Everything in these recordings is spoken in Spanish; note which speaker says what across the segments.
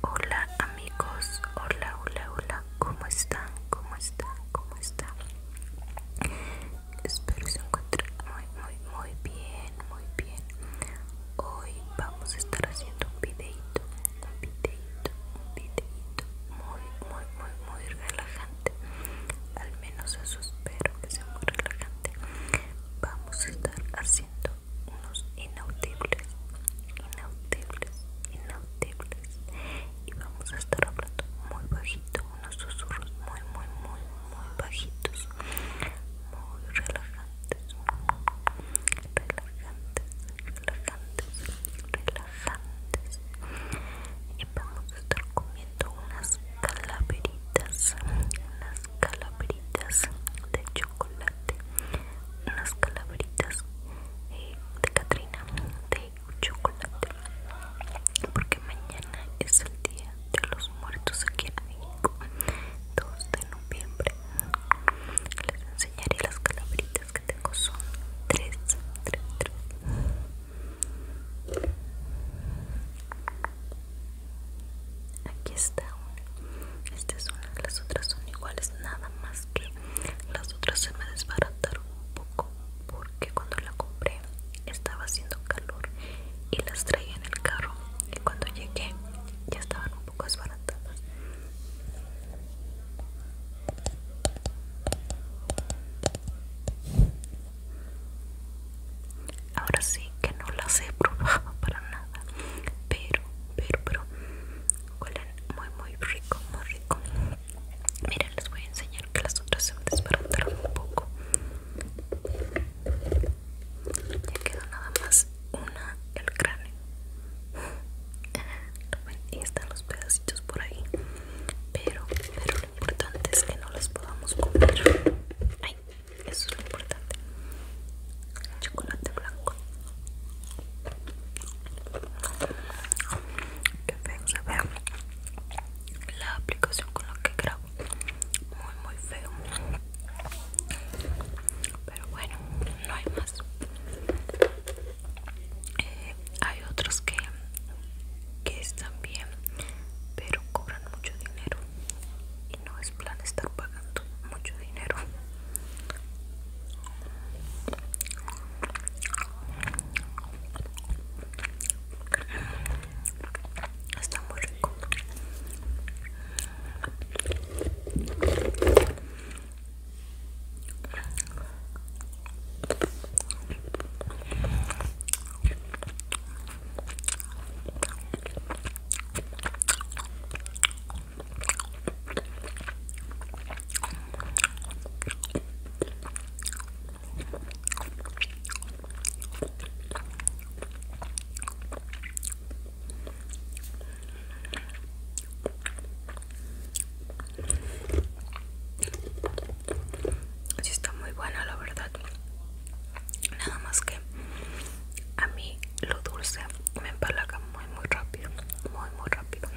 Speaker 1: Hola amigos, hola, hola, hola, ¿cómo están? ¿Cómo están? ¿Cómo están? Espero se encuentren muy, muy, muy bien, muy bien. Hoy vamos a estar haciendo un videito, un videito, un videito muy, muy, muy, muy relajante. Al menos eso espero que sea muy relajante. Vamos a estar haciendo unos inaudibles, inaudibles, inaudibles. Y vamos a estar hablando muy bajito, unos susurros muy, muy, muy, muy bajitos, muy relajantes, relajantes, relajantes, relajantes. Y vamos a estar comiendo unas calaveritas, calaveritas de chocolate, unas calaveritas eh, de Catrina de chocolate, porque mañana es el día de los muertos aquí en México, 2 de noviembre. Les enseñaré las calaveritas que tengo, son 3, 3, 3 aquí está esta es una las otras son iguales nada más que las otras se me desbarataron un poco porque cuando la compré estaba haciendo calor y las traía en el carro y cuando llegué ya estaban un poco desbaratadas Ahora sí que no las he probado para nada pero pero pero huelen muy muy rico muy rico miren les voy a enseñar que las otras se me un poco ya quedó nada más una el cráneo y están los pedacitos por ahí pero pero lo importante es que no las podamos comer Ay eso es lo importante chocolate blanco que feo se ve la aplicación con la que grabo muy muy feo pero bueno no hay más eh, hay otros que que están bien pero cobran mucho dinero no es plan estar pagando mucho dinero está muy así está muy buena la verdad nada más que a mí lo dulce me empalaga muy muy rápido muy muy rápido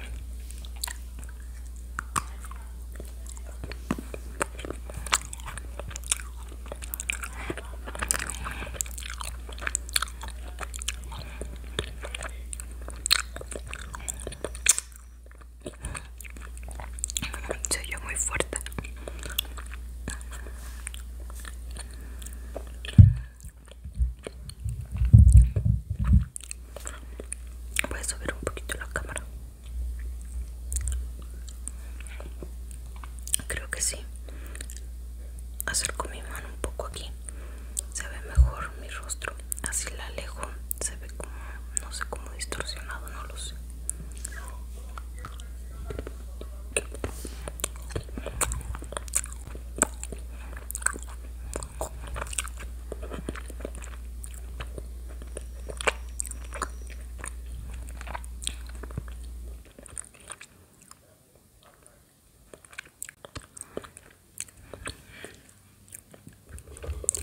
Speaker 1: soy yo muy fuerte Voy a subir un poquito la cámara. Creo que sí. Acerco mi mano un poco aquí. Se ve mejor mi rostro. Así la alejo. Se ve como, no sé, como distorsionado, no lo sé.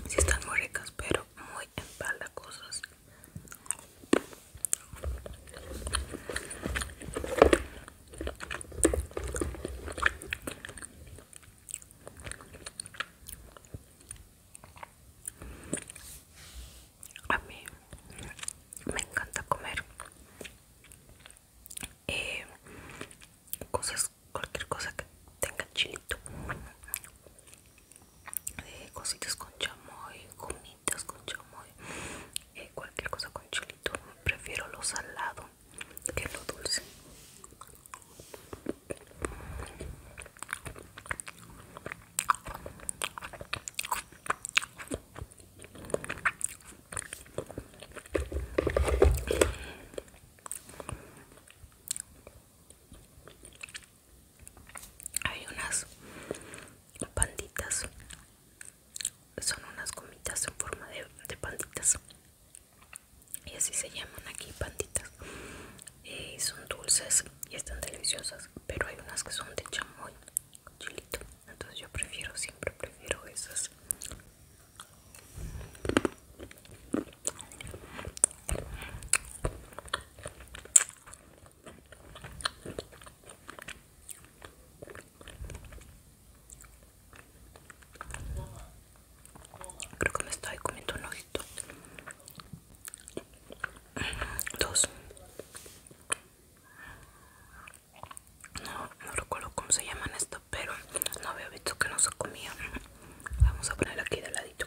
Speaker 1: Si están muy ricas, pero muy empalagosas. A mí me encanta comer eh, cosas, cualquier cosa que tenga chilito, eh, cositas con chamoy, gomitas con chamoy, eh, cualquier cosa con chilito prefiero lo salado que lo dulce hay unas panditas son unas gomitas en forma de, panditas y así se llaman aquí panditas y eh, son dulces y están deliciosas pero hay unas que son de chamoy chilito entonces yo prefiero siempre prefiero esas Creo que me estoy comiendo un ojito. Dos. No, recuerdo cómo se llaman esto, pero no había visto que no se comía. Vamos a poner aquí de ladito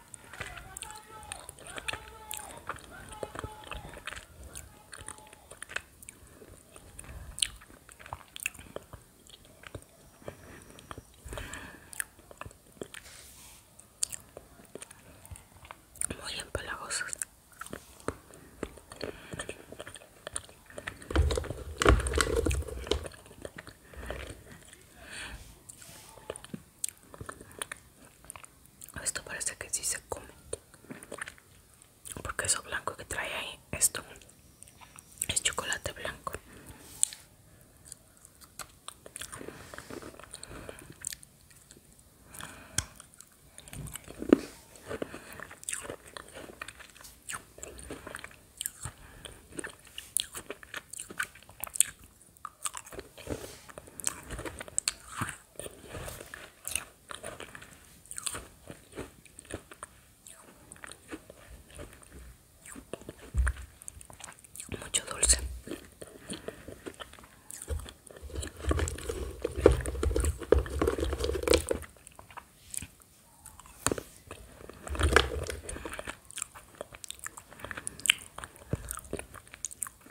Speaker 1: muy empalagosos esto parece que sí se come. Porque eso blanco que trae ahí, esto es chocolate blanco mucho dulce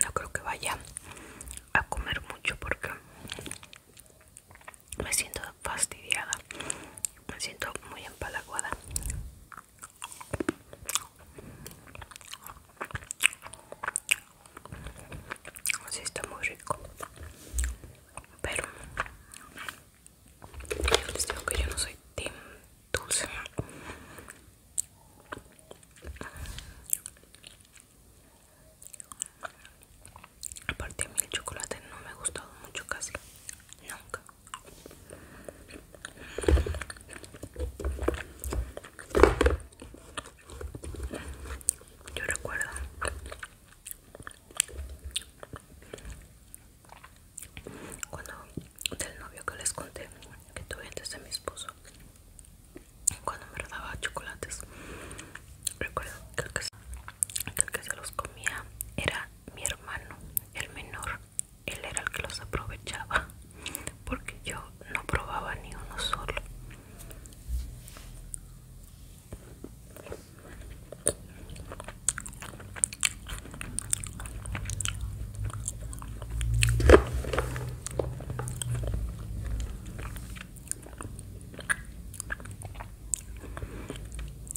Speaker 1: no creo que vaya a comer mucho porque me siento fastidiada, me siento muy empalaguada. Así está muy rico, pero yo que yo no soy dulce. Aparte a mí el chocolate no me ha gustado mucho casi, nunca. Yo recuerdo cuando del novio que les conté que tuve antes de mi esposo cuando me daba chocolates recuerdo que el que se los comía era mi hermano el menor él era el que los aprovechaba porque yo no probaba ni uno solo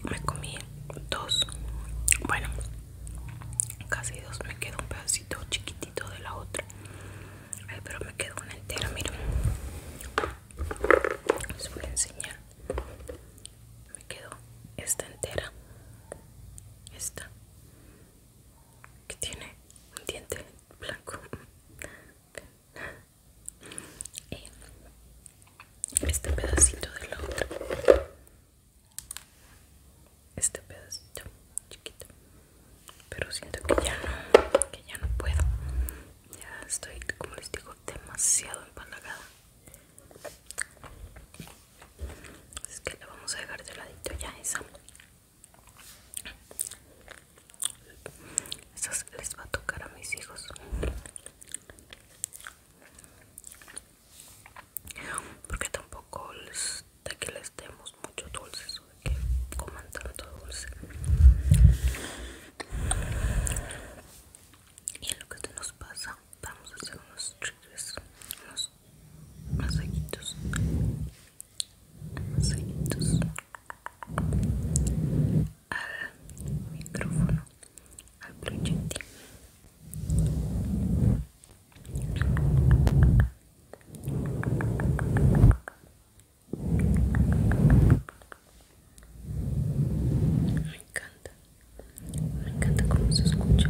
Speaker 1: me comí dos, bueno, casi dos, me quedó un pedacito chiquitito de la otra. pero me quedó una entera, miren. Les voy a enseñar. Me quedó esta entera. Esta que tiene un diente blanco y este pedacito de la otra este pedacito chiquito pero siento que ya no que ya no puedo ya estoy como les digo demasiado empalagada es que le vamos a dejar de ladito ya esa esas les va a tocar a mis hijos. Porque tampoco les de que les demos mucho dulces o de que coman tanto dulce. Y lo que nos pasa, vamos a hacer unos triggers, más aguitos Más aguitos al micrófono al proyectil me encanta, me encanta cómo se escucha.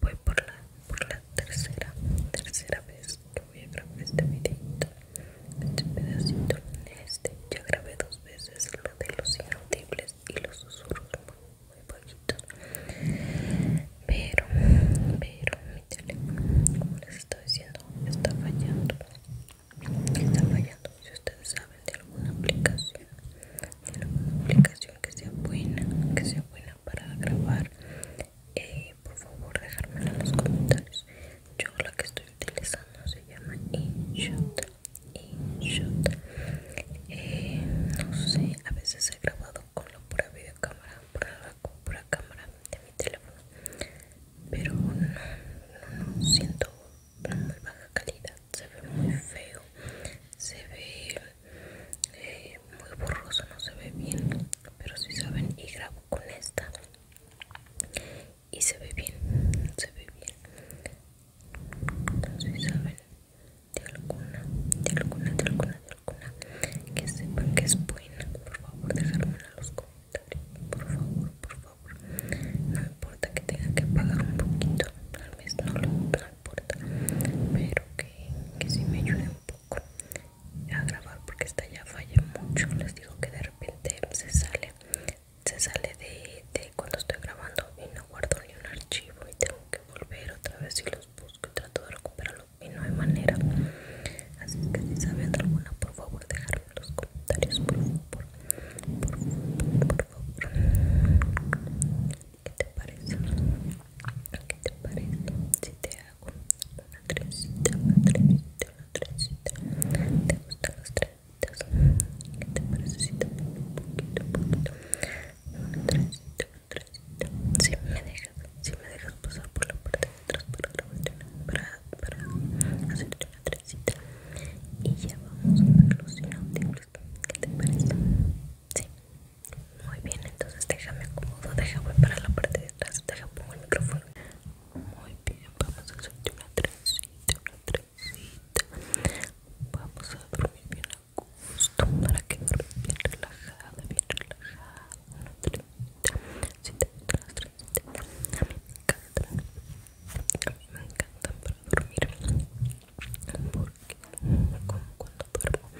Speaker 1: voy por la, por la tercera, tercera vez que voy a grabar este videito, este pedacito, este, ya grabé dos veces lo de los inaudibles y los susurros muy, muy bajitos, pero, pero mi teléfono, como les estaba diciendo, está fallando, está fallando, si ustedes saben de alguna aplicación, de alguna aplicación que sea buena, que sea buena para grabar eh, por favor dejármelo en los comentarios yo la que estoy utilizando se llama InShot InShot eh, no sé a veces he grabado con la pura videocámara por la pura cámara de mi teléfono pero no, no, no siento muy baja calidad se ve muy feo se ve eh, muy borroso no se ve bien pero si saben y grabo con esta y se ve bien se ve bien si saben de alguna de alguna de alguna de alguna que sepan que es buena por favor dejármela en los comentarios por favor por favor no importa que tenga que pagar un poquito tal vez pero que, si me ayude un poco a grabar porque esta ya falla mucho les digo que de repente se sale se sale de, cuando estoy grabando y no guardo ni un archivo y tengo que volver otra vez y los busco y trato de recuperarlo y no hay manera así que si saben alguna por favor dejarme en los comentarios por favor por favor por favor ¿Qué te parece? ¿Qué te parece? Si te hago una trencita, una trencita, una trencita ¿Te gustan las trencitas? ¿Qué te parece si te pongo un poquito, un poquito? Una trencita, una trencita Si me dejas, si me dejas pasar por la parte de atrás para grabarte para, para hacerte una trencita Y ya vamos a la los ¿Qué te parece? Sí, muy bien, entonces déjame acomodo, déjame para la parte de atrás, déjame pongo el micrófono. Muy bien, vamos a hacer una trencita, una trencita. Vamos a dormir bien a gusto para que duermas bien relajada, bien relajada. Una trencita, si te gustan las trencitas, a mí me encantan, a mí me encantan para dormir. Porque como cuando duermo,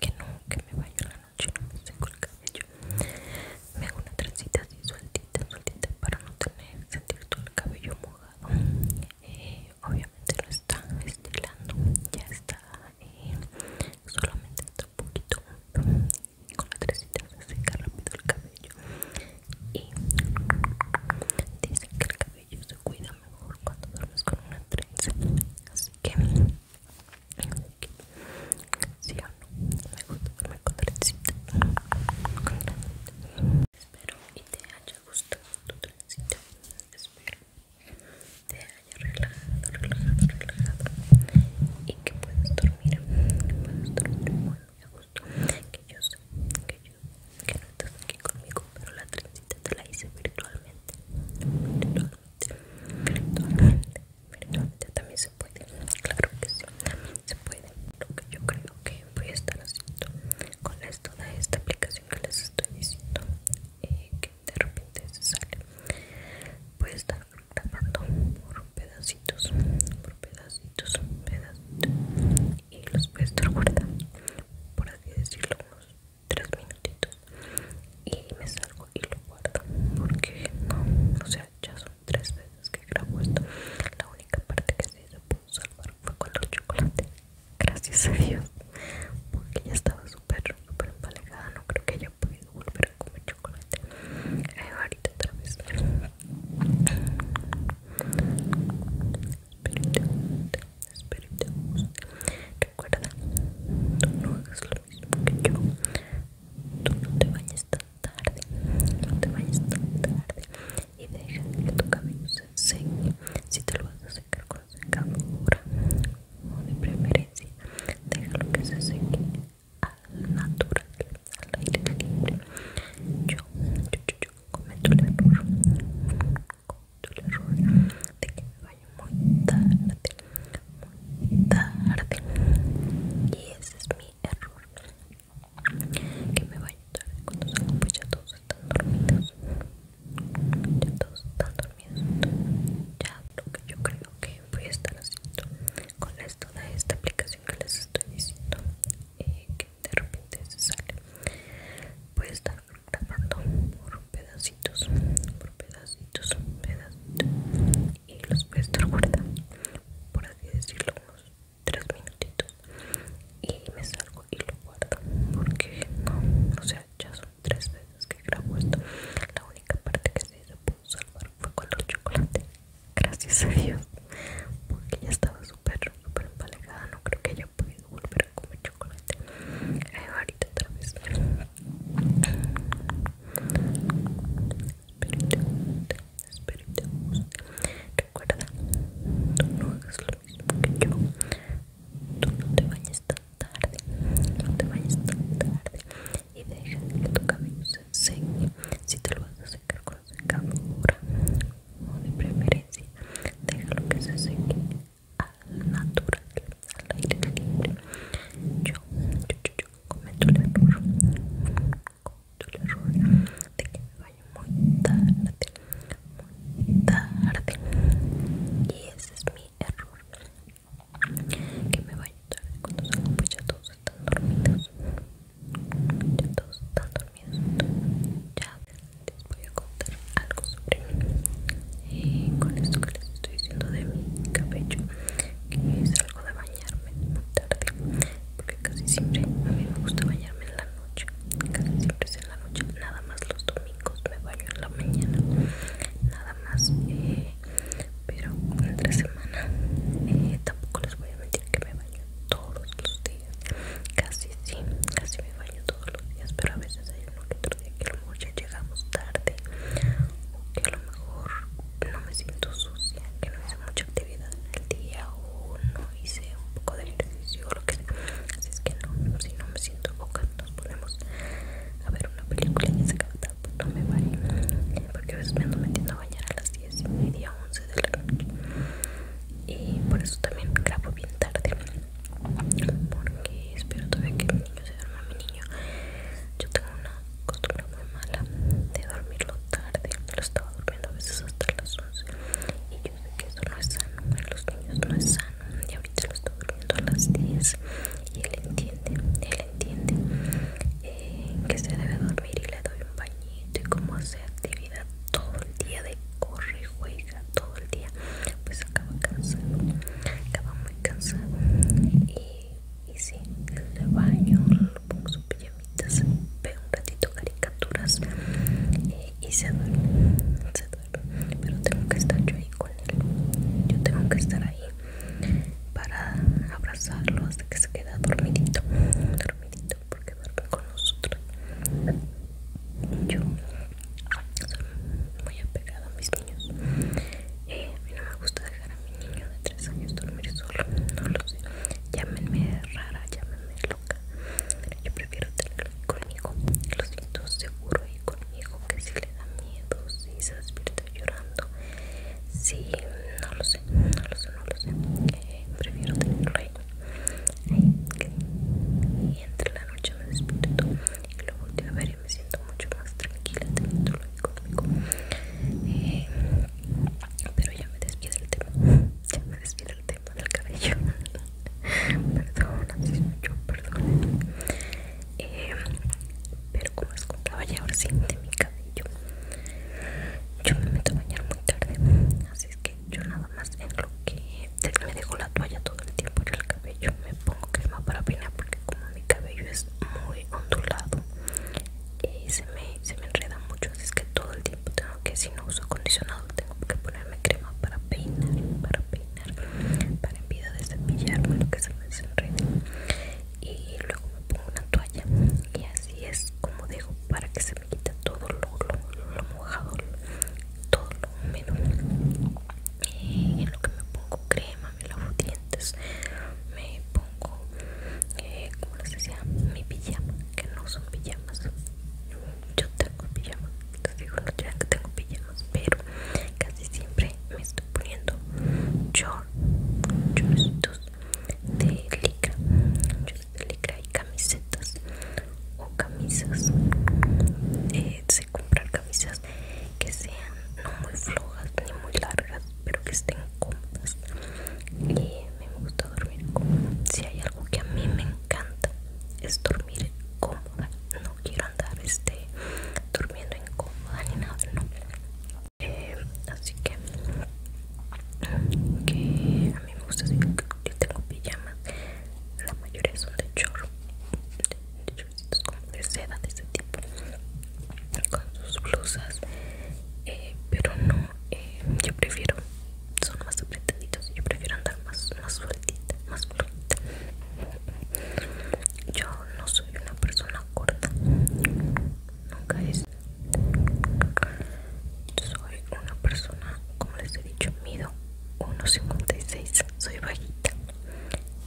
Speaker 1: que no, que me baño yo no me seco el cabello me hago una trencita así sueltita sueltita para no tener sentir todo el cabello mojado eh, obviamente lo está estilando ya está eh, solamente está un poquito mm, con la trencita se seca rápido el cabello y dicen que el cabello se cuida mejor cuando duermes con una trenza así que o no, me gusta con trencita Espero y te haya gustado tu trencita Espero te haya relajado, relajado, relajado Y que puedas dormir, que puedas dormir muy a gusto Que yo sé, que yo, que no estás aquí conmigo Pero la trencita te la hice virtualmente Virtualmente perdón, también se puede, claro que sí, también se puede. Lo que yo creo que voy a estar haciendo con esto toda esta aplicación que les estoy diciendo, eh, que de repente se sale, voy a estar grabando por pedacitos, por pedacitos, pedacitos, y los voy a estar guardando, por así decirlo, unos tres minutitos y me salgo y lo guardo porque no, o sea ya son tres veces que grabo esto la única parte que sí se pudo salvar fue con los chocolates gracias a Dios porque ya estaba súper súper empalagada no creo que haya podido volver a comer chocolate eh, ahorita otra vez Espero que te guste recuerda no hagas lo mismo que yo tú no te vayas tan tarde no te vayas tan tarde y deja que tu cabello se seque si te lo vas a secar con secadora o de preferencia déjalo que se seque al natural al aire libre yo, yo, yo, yo cometo el error el error de que me baño muy tarde, muy tarde. Y ese es mi error. Que me baño tarde cuando salgo, pues ya todos están dormidos. Ya todos están dormidos. Ya lo que yo creo que voy a estar haciendo con esto esta aplicación que les estoy diciendo. Eh, que de repente se sale voy a estar grabando por pedacitos, por pedacitos, pedacitos y los puedo guardar por así decirlo unos 3 minutitos y me salgo y lo guardo porque no, o sea ya son tres veces que grabo esto la única parte que se pudo salvar fue con los chocolates gracias a Dios porque ya estaba súper súper empalagada no creo que haya podido volver a comer chocolate eh, ahorita otra vez recuerda, tú no hagas lo mismo que yo. Tú no te vayas tan tarde, no te vayas tan tarde y deja que tu cabello se seque. Si te lo vas a secar con secadora o de preferencia, déjalo que se seque la naturaleza, al aire libre. Yo, yo, yo, yo cometo el error, cometo el error de que me vaya muy tarde, muy tarde. Y ese es mi error, que me vaya tarde cuando salgo pues ya todos están dormidos. Ya todos están dormidos. Ya les voy a contar algo sobre mí. Eh, con esto que les estoy diciendo de mi cabello que algo de bañarme muy tarde porque casi siempre a mí me gusta bañarme en la noche casi siempre es en la noche nada más los domingos me baño en la mañana nada más eh, pero entre semana eh, tampoco les voy a mentir que me baño todos los días casi sí casi me baño todos los días pero a veces hay uno que a lo ya llegamos tarde o que a lo mejor no me siento sucia, que no hice mucha actividad en el día o no hice un poco de ejercicio o lo que sea. Así es que no, si no me siento boca, nos ponemos a ver una película y se acaba no me vale. Porque a veces me ando metiendo a bañar a las 10 y media, 11 de la noche. Y por eso también grabo bien tarde. Porque espero todavía que el niño se duerma mi yo tengo una costumbre muy mala de dormirlo tarde lo estaba durmiendo a veces hasta las 11 y yo sé que eso no es sano en ¿eh? los niños no es sano y ahorita lo estoy durmiendo a las 10 y él entiende él entiende eh, que se debe dormir y le doy un bañito y como hace actividad todo el día de corre juega todo el día pues acaba cansado acaba muy cansado y, y sí, le baño, le pongo sus pijamitas ve un ratito caricaturas y se duerme se duerme pero tengo que estar yo ahí con él yo tengo que estar ahí para abrazarlo hasta que se queda dormidito dormidito porque duerme con nosotros yo soy muy apegada a mis niños. Eh, a mí no me gusta dejar a mi niño de 3 años dormir solo. No lo sé. Llámenme rara, llámenme loca. Pero yo prefiero tenerlo conmigo. Lo siento seguro y conmigo. Que si le da miedo, si se despierta llorando. Si no lo sé, no lo sé, no lo sé. Eh, prefiero tenerlo ahí. ahí que, y entre la noche me despierto y lo volteo a ver y me siento mucho más tranquila teniendo lo económico eh, pero ya me despido el tema ya me despido el tema del cabello perdón así mucho perdón eh, pero como con contaba ya ahora sí de mi cabello yo me meto a bañar muy tarde así es que yo nada más en lo que me dejo la toalla todo el tiempo en el cabello me pongo crema para peinar porque como mi cabello es muy ondulado y se me, se me enreda mucho así es que todo el tiempo tengo que si no uso acondicionado tengo que ponerme crema para peinar para peinar para en vida de cepillar Bueno que se me desenrede y luego me pongo una toalla y así es como dejo para que se me quite todo lo, lo, mojado todo lo húmedo y en lo que me pongo crema me lavo dientes, me pongo, eh, como les decía, mi pijama, que no son pijamas. Yo tengo pijamas, les digo, que tengo pijamas, pero casi siempre me estoy poniendo shorts, shortsitos de licra, shorts de licra y camisetas o camisas. sé eh, comprar camisas que sean no muy flojas ni muy largas pero que estén cómodas y me gusta dormir cómoda si hay algo que a mí me encanta es dormir cómoda no quiero andar este durmiendo incómoda ni nada no eh, así que que a mí me gusta Yo que tengo pijamas la mayoría son de chorro como de seda de ese tipo con sus blusas eh, pero no eh, yo prefiero son más apretaditos yo prefiero andar más más yo no soy una persona corta nunca es soy una persona como les he dicho mido 1.56 soy bajita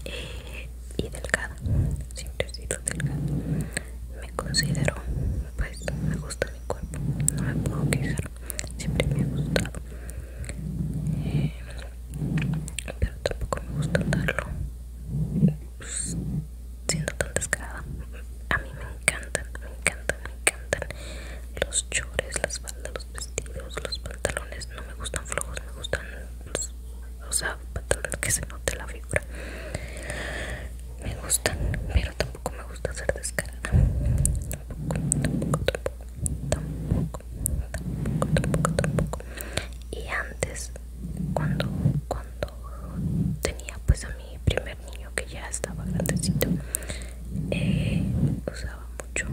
Speaker 1: y eh, y delgada, siempre he sido delgada. Me considero, pues me gusta mi cuerpo, no me puedo quejar, siempre me ha gustado. Eh, pero tampoco me gusta andarlo pues, siendo tan descarada. A mí me encantan, me encantan, me encantan los chores, las faldas, los vestidos, los pantalones. No me gustan flojos, me gustan o sea, para que se note la figura. Me gustan, pero tampoco me gusta hacer descarga Tampoco, tampoco, tampoco, tampoco, tampoco, Y antes, cuando, cuando tenía pues a mi primer niño que ya estaba grandecito, eh, usaba mucho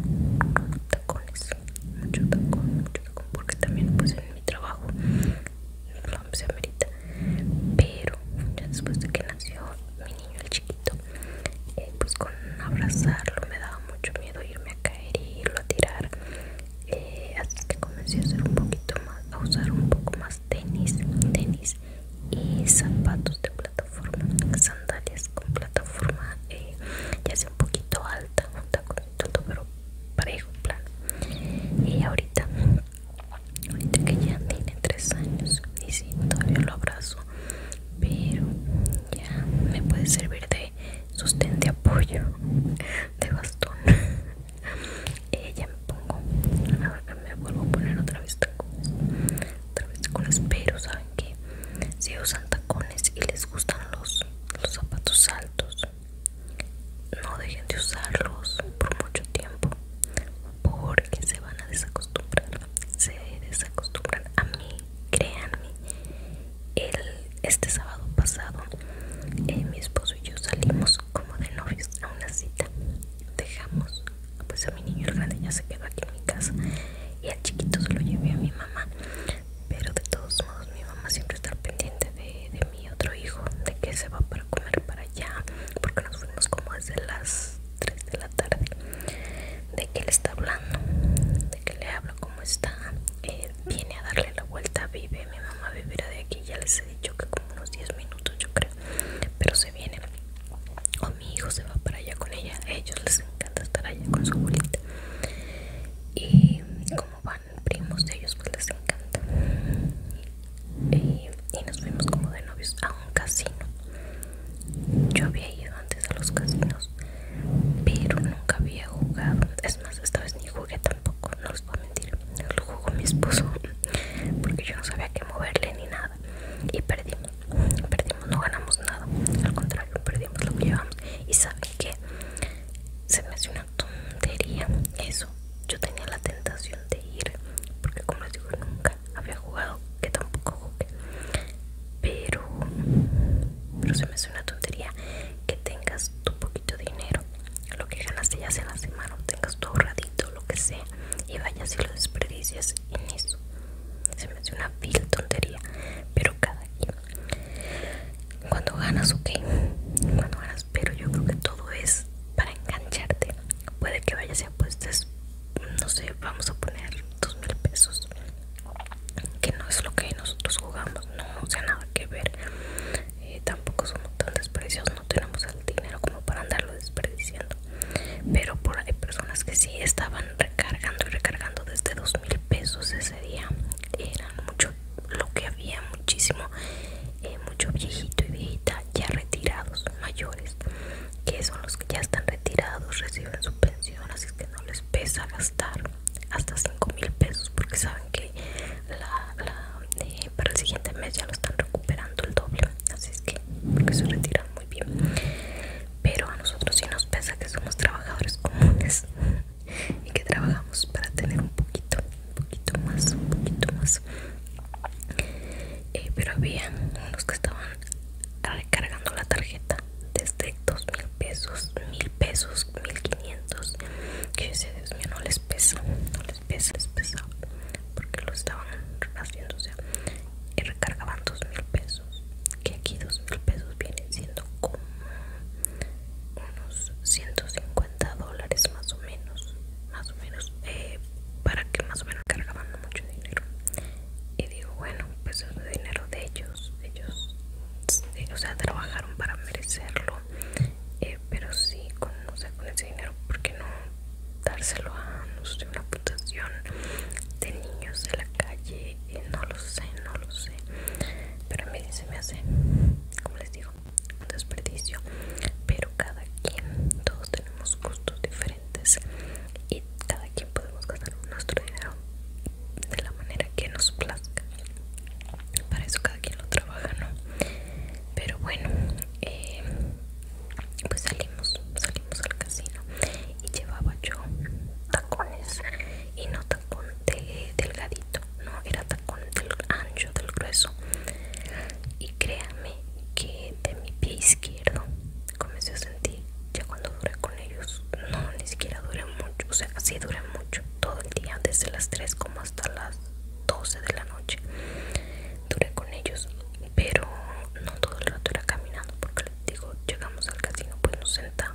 Speaker 1: tacones mucho tacón, mucho tacón, porque también pues en mi trabajo no se amerita. Pero ya después de que nació mi niño el chiquito, eh, pues con abrazarlo me daba mucho miedo irme a caer y irlo a tirar. Eh, así que comencé a hacer un poquito más, a usar un poco más tenis, tenis y zapatos de plataforma, sandalias con plataforma eh, ya sea un poquito alta, todo pero parejo plan y ahorita ahorita que ya tiene tres años y siento todavía lo abrazo pero ya me puede servir de sostén de apoyo de bastón Y eh, ya me pongo me vuelvo a poner otra vez tacones otra vez tacones pero saben que si usan tacones y les gustan los, zapatos no dejen de usarlos por mucho tiempo porque se van a desacostumbrar. Se desacostumbran a mí, créanme. este sábado pasado eh, mi esposo y yo salimos como de novios a una cita. Dejamos pues a mi niño el grande ya se quedó aquí en mi casa y al chiquito se lo llevé a mi mamá pero de todos modos mi mamá siempre está pendiente de, mi otro hijo, de que se va para comer para allá, porque nos fuimos como desde las 3 de la tarde, de que le está hablando, de que le hablo cómo está, eh, viene a darle la vuelta, vive, mi mamá vivirá de aquí, ya les he dicho que como unos 10 minutos yo creo, pero se viene, o mi hijo se va para allá con ella, a ellos les encanta estar allá con su abuelita. Y como van primos de ellos pues les encanta y, nos fuimos como de novios a un casino yo había ido antes a los casinos pero nunca había jugado es más esta vez ni jugué tampoco no les voy a mentir lo jugó mi esposo porque yo no sabía qué moverle ni nada y perdimos perdimos no ganamos nada al contrario perdimos lo que llevamos y saben que se me hace una tontería eso. Yo tenía la tentación de ir, porque como les digo, nunca había jugado, que tampoco jugué. Pero, pero se me hace una tontería que tengas tu poquito dinero, lo que ganaste ya sea la semana, tengas tu ahorradito, lo que sea, y vayas y lo desperdicias en eso. Se me hace una vil tontería, pero cada quien cuando ganas ok cuando ganas pero yo creo que todo es para engancharte puede que vayas y apuestes no sé vamos a poner dos mil pesos que no es lo que nosotros jugamos no o sea nada que ver eh, tampoco somos tan desperdiciados no tenemos el dinero como para andarlo desperdiciando pero por hay personas que sí estaban recargando y recargando desde dos mil pesos día eran mucho lo que había muchísimo eh, mucho viejito y viejita ya retirados mayores que son los que ya están retirados reciben su pensión así que no les pesa gastar hasta 5 mil pesos porque saben que eh, para el siguiente mes ya lo están recuperando el doble así es que porque se retiran muy bien pero a nosotros sí nos pesa que somos trabajadores comunes y que trabajamos para tener un poquito, un poquito más, un poquito más. Eh, pero había unos que estaban recargando la tarjeta desde $2,000, mil pesos, 1000 pesos, 1500 Que decía, Dios mío, no les pesa, no les pesa, les pesaba porque lo estaban haciendo, o sea, y recargaban $2,000 pesos. Que aquí $2,000 mil pesos vienen siendo como unos 150 dólares más o menos más o menos eh, para que más o menos cargaban mucho dinero y digo bueno pues es el dinero de ellos ellos o sea trabajaron para merecerlo eh, pero sí con, ese dinero porque no dárselo a no una fundación de niños de la calle eh, no lo sé no lo sé pero me se me hace como les digo un desperdicio pero cada quien todos tenemos gustos diferentes y cada quien podemos gastar nuestro dinero de la manera que nos plazca para eso cada quien lo trabaja no pero bueno eh, pues salimos salimos al casino y llevaba yo tacones y no tacón de, delgadito no era tacón del ancho, del grueso. Y créanme que de mi pie izquierdo comencé a sentir, ya cuando duré con ellos, no, ni siquiera duré mucho, o sea, así duré mucho, todo el día, desde las 3 como hasta las 12 de la noche. Duré con ellos, pero no todo el rato era caminando, porque les digo, llegamos al casino, pues nos sentamos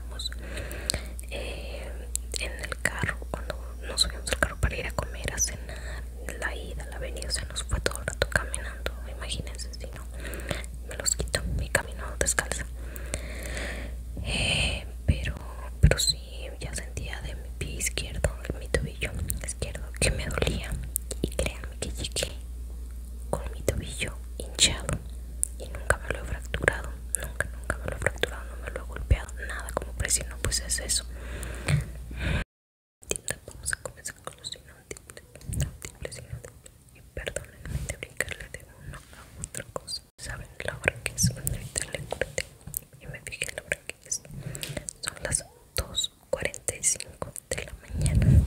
Speaker 1: eh, en el carro cuando nos subimos al carro para ir a comer a cenar la ida la venida se nos fue todo el rato caminando imagínense si no me los quito y camino descalza eh, pero pero sí ya sentía de mi pie izquierdo mi tobillo izquierdo que me dolía y créanme que llegué con mi tobillo hinchado y nunca me lo he fracturado, nunca, nunca me lo he fracturado, no me lo he golpeado, nada como presión, pues es eso. Vamos a comenzar con los inaudibles, inaudibles, inaudibles. Y perdónenme de brincarle de una a otra cosa. ¿Saben la hora que es? Ahorita le corté y me fijé la hora que es. Son las 2.45 de la mañana.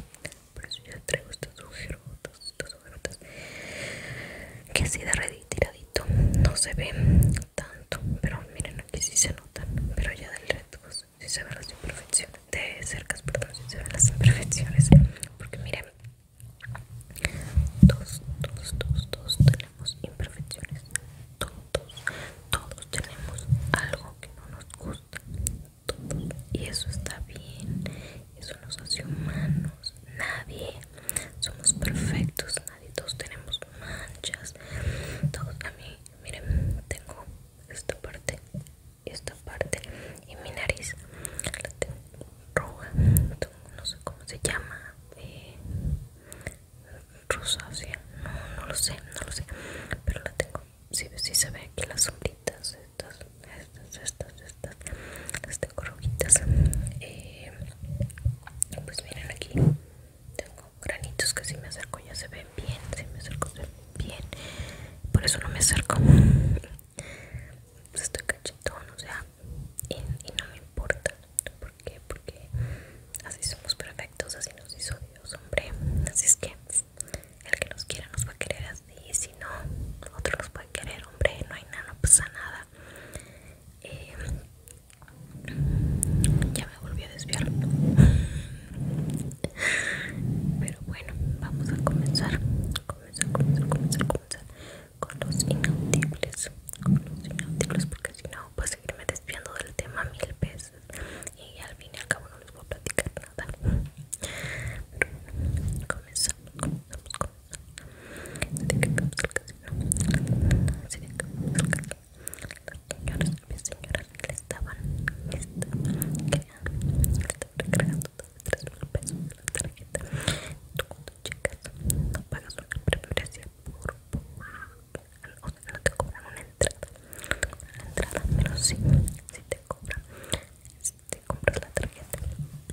Speaker 1: Por eso yo traigo este sujeto que así de tiradito no se ve tanto pero miren aquí sí se notan pero ya del reto pues, sí se ven las imperfecciones de cercas perdón si se ven las imperfecciones porque miren todos todos todos todos tenemos imperfecciones todos todos tenemos algo que no nos gusta todos y eso está bien eso nos hace humanos nadie somos perfectos nadie todos tenemos manchas todos a mí miren tengo esta parte esta parte y mi nariz la tengo roja no sé cómo se llama eh, rosácea no no lo sé no lo sé pero la tengo si sí, se ve aquí las sombritas estas estas, estas, estas las tengo rojitas eh, pues miren aquí tengo granitos que si me acerco ya se ven bien si me acerco se ven bien por eso no me acerco pues estoy cachetón o sea y, no me importa porque, porque así somos perfectos así nos hizo Dios hombre así es que el que nos quiera nos va a querer así y si no otro nos puede querer hombre no hay nada no pasa nada eh, ya me volví a desviar pero bueno vamos a comenzar comenzar comenzar comenzar comenzar con los inaudibles con los inaudibles porque si no pues seguirme desviando del tema mil veces y al fin y al cabo no les voy a platicar nada comenzamos de que señoras, señoras estaban, recargando tres pesos la tarjeta tú cuando llegas no pagas una por, por te cobran una entrada entrada, pero sí, si te cobran si te compras la tarjeta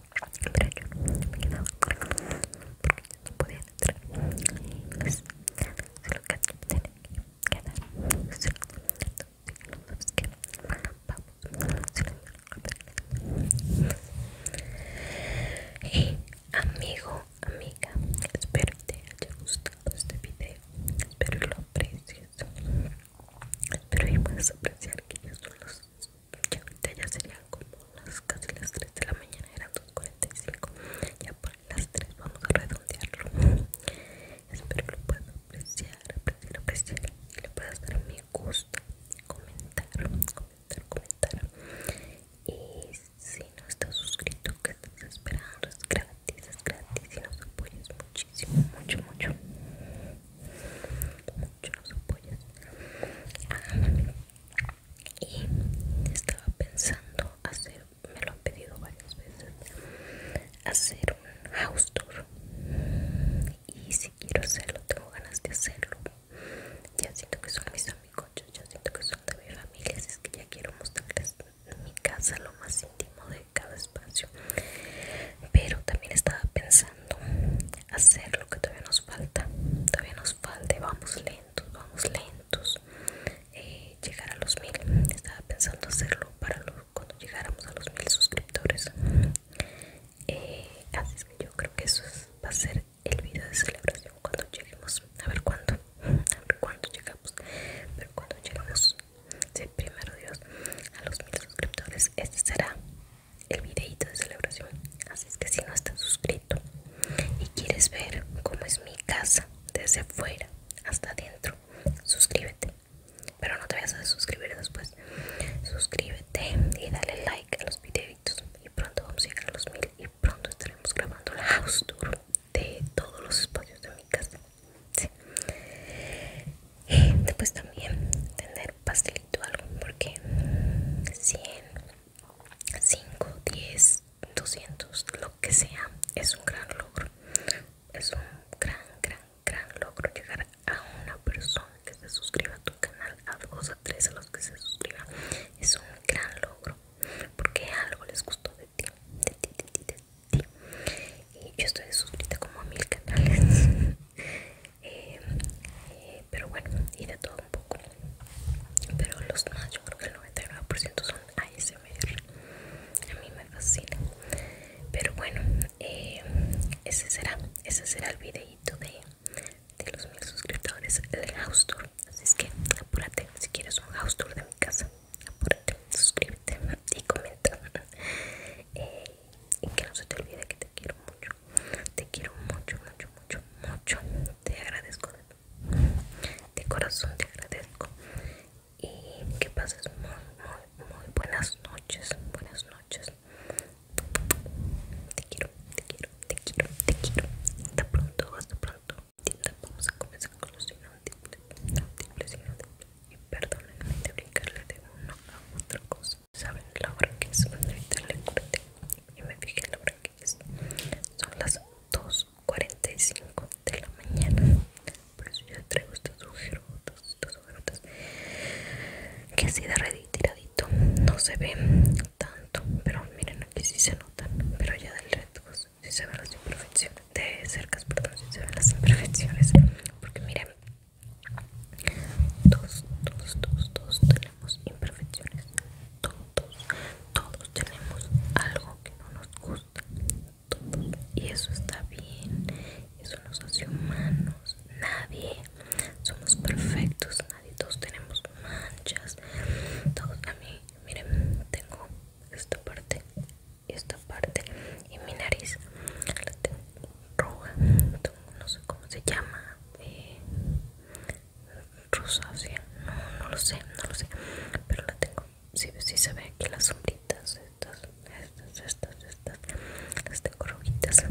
Speaker 1: pero yo me he quedado quedaba porque yo no podía entrar y pues, lo que tiene que quedar solo entonces que vamos a y amigo amiga espero te haya gustado este video espero lo aprecies espero y puedas apreciar que yo solo ya serían como las casi las 3 de la mañana, eran 2.45, ya por las 3 vamos a redondearlo. Espero que lo puedan apreciar, apreciar, apreciar y le puedas dar mi gusta, comentar, comentar, comentar. Y si no estás suscrito, que estás esperando, es gratis, es gratis y nos apoyas muchísimo, mucho, mucho. Mucho nos apoyas. Ah, y estaba pensando hacer me lo han pedido varias veces hacer un house tour y si quiero hacerlo tengo ganas de hacerlo ya siento que son mis amigos ya siento que son de mi familia así es que ya quiero mostrarles mi casa lo más íntimo de cada espacio pero también estaba pensando hacer lo que todavía nos falta todavía nos falta vamos lentos vamos lentos eh, llegar a los mil estaba pensando hacerlo para cuando llegáramos a los mil suscriptores eh, así que yo creo que eso va a ser el video de celebración cuando lleguemos a ver cuándo a ver cuándo llegamos pero cuando lleguemos primero Dios a los mil suscriptores este será el videito de celebración así es que si no estás suscrito y quieres ver cómo es mi casa desde afuera hasta adentro suscríbete pero no te vayas a suscribir después suscríbete y dale like a los videitos y pronto vamos a llegar a los mil y pronto estaremos grabando la house tour de todos los espacios de mi casa y después también tener pastelito algo porque 100 5, 10, 200, lo que sea, es un gran logro. Es un gran, gran, gran logro llegar a una persona que se suscriba a tu canal, a dos, a tres, a los que se suscriban. Es un gran logro porque algo les gustó de ti, de ti, de ti, de ti. Y yo estoy suscrita como a mil canales. Eh, eh, pero bueno, y de todo un poco pero los más yo creo que el 99% son ASMR a mí me fascina pero bueno eh, ese será ese será el videito de, los mil suscriptores del house tour así es que apúrate si quieres un house tour de mi casa apúrate suscríbete y comenta eh, y que no se te olvide que te quiero mucho te quiero mucho, mucho, mucho, mucho. Te agradezco. De corazón te agradezco. Y que pases muy, muy, muy buenas noches. Buenas noches. Te quiero, te quiero, te quiero, te quiero. Hasta pronto, hasta pronto. Vamos a comenzar con los signos múltiples, Y perdónenme de brincarle de uno a otra cosa. Saben la hora que es. Ahorita le corté y me fijé la hora son las 2.45 de la mañana por eso yo traigo estos agujeros, estos ojerotas que así de tiradito no se ve tanto pero miren aquí sí se notan pero ya del reto si pues, se ven las imperfecciones de cerca, perdón si se ven las imperfecciones porque miren dos dos dos dos tenemos imperfecciones todos tenemos algo que no nos gusta. Y eso está bien. Eso nos hace humanos. Nadie. Somos perfectos. Nadie. Todos tenemos manchas. Todos a mí. Miren, tengo esta parte y esta parte. Y mi nariz la tengo roja. No sé cómo se llama. Eh, rosácea no, no lo sé, no lo sé pero la tengo, si sí, sí se ve aquí las sombritas estas, estas, estas, estas las tengo rojitas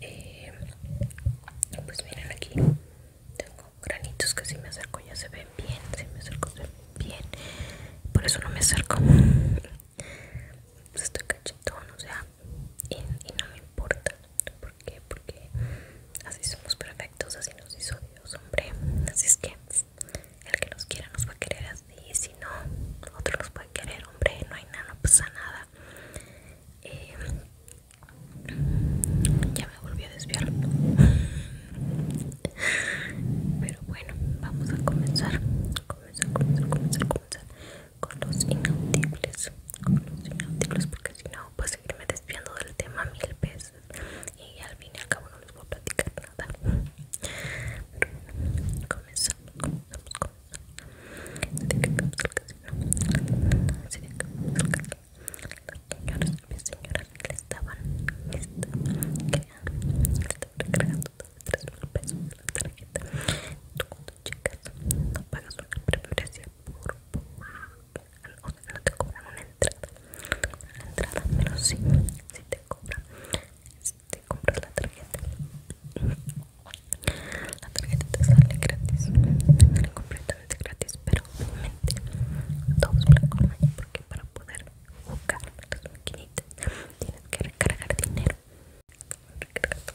Speaker 1: eh, pues miren aquí tengo granitos que si me acerco ya se ven bien si me acerco se ven bien por eso no me acerco pues estoy cachetón o sea y, y no me importa. ¿Por qué? Porque así somos perfectos, así nos hizo Dios, hombre. Así es que el que nos quiera nos va a querer así, y si no, otro nos puede querer, hombre. No hay nada, no pasa nada. Eh, ya me volví a desviar. Pero bueno, vamos a comenzar. Comenzar, comenzar, comenzar, comenzar con los inaudibles. Con los inaudibles, porque si no pues seguirme desviando del tema mil pesos y al fin y al cabo no les voy a platicar nada comenzamos, comenzamos, comenzamos que, señoras señoras que estaban recargando la tarjeta tú no pagas preferencia no te cobran una entrada la entrada pero sí si te cobran si te compras la tarjeta la tarjeta te sale gratis te sale completamente gratis pero obviamente todos los porque para poder jugar las maquinitas tienes que recargar dinero recarga tu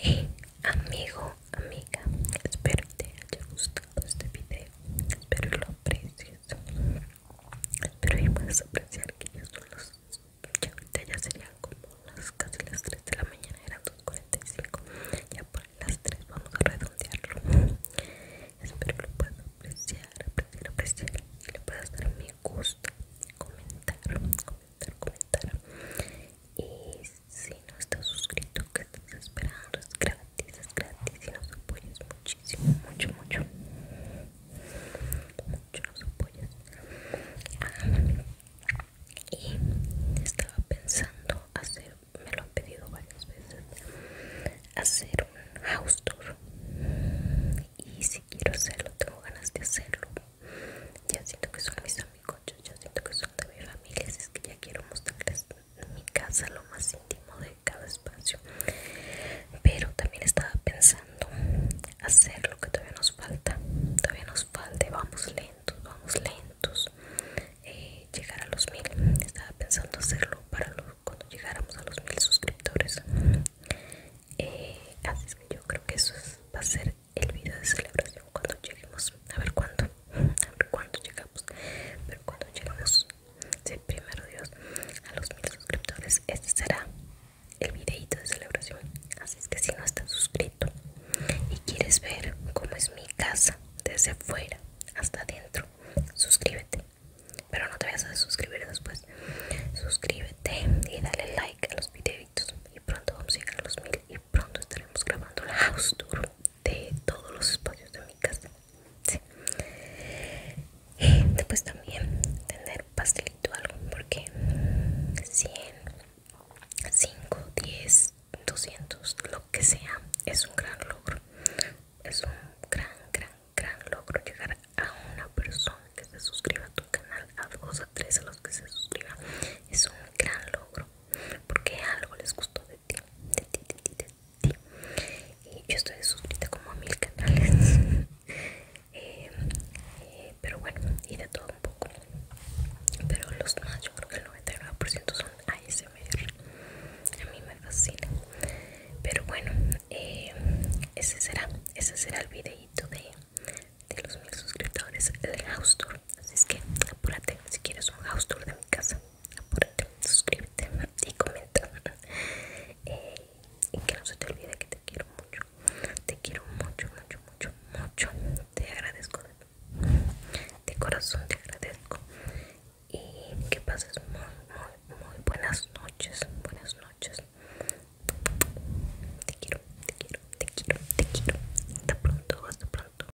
Speaker 1: y amigo amiga, espero que te haya gustado este video, espero lo aprecies, espero que puedas apreciar que ya son ya serían como las casi las 3 de la mañana, eran 2.45, ya por las 3 vamos a redondearlo, espero que lo puedas apreciar, apreciar, apreciar, y le puedas dar mi gusta, comentar, comentar, comentar, si no estás suscrito, que estás esperando? Es gratis, es gratis y nos apoyas muchísimo, mucho, mucho. Mucho nos apoyas. Ah, y estaba pensando hacer, me lo han pedido varias veces, hacer un house tour. Y si quiero hacerlo, tengo ganas de hacerlo. Ya siento que son mis amigos, ya siento que son de mi familia, así es que ya quiero mostrarles mi casa, lo más íntimo de cada espacio. Pero también estaba pensando hacer lo que todavía nos falta. Todavía nos falta vamos lentos, vamos lentos. Eh, llegar a los mil. Estaba pensando hacerlo para cuando llegáramos a los mil suscriptores. Eh, así que yo creo que eso va a ser el video de celebración cuando lleguemos a ver cuándo a ver cuándo llegamos pero cuando lleguemos si primero Dios a los mil suscriptores este será el videito de celebración así es que si no estás suscrito y quieres ver cómo es mi casa desde fuera hasta adentro suscríbete pero no te vayas a suscribir después suscríbete y dale like a los videitos y pronto vamos a llegar a los mil y pronto estaremos grabando la house tour de todos los espacios de mi casa y después pues también tener pastelito algo porque 100 5 10 200 lo que sea es un gran logro es un gran gran gran logro llegar a una persona que se suscriba a tu canal a dos a tres a los que se suscriban es un gran logro porque algo les gustó y yo estoy suscrita como a mil canales. Eh, eh, pero bueno, y de todo un poco. Pero los más, yo creo que el 99% son ASMR. A mí me fascina. Pero bueno, eh, ese será, ese será el videito de, de los mil suscriptores del house tour. Así es que apúrate si quieres un house tour de mi casa por suscríbete y comenta eh, y que no se te olvide que te quiero mucho te quiero mucho, mucho, mucho, mucho te agradezco de corazón te agradezco y que pases muy, muy, muy buenas noches buenas noches te quiero, te quiero, te quiero, te quiero hasta pronto, hasta pronto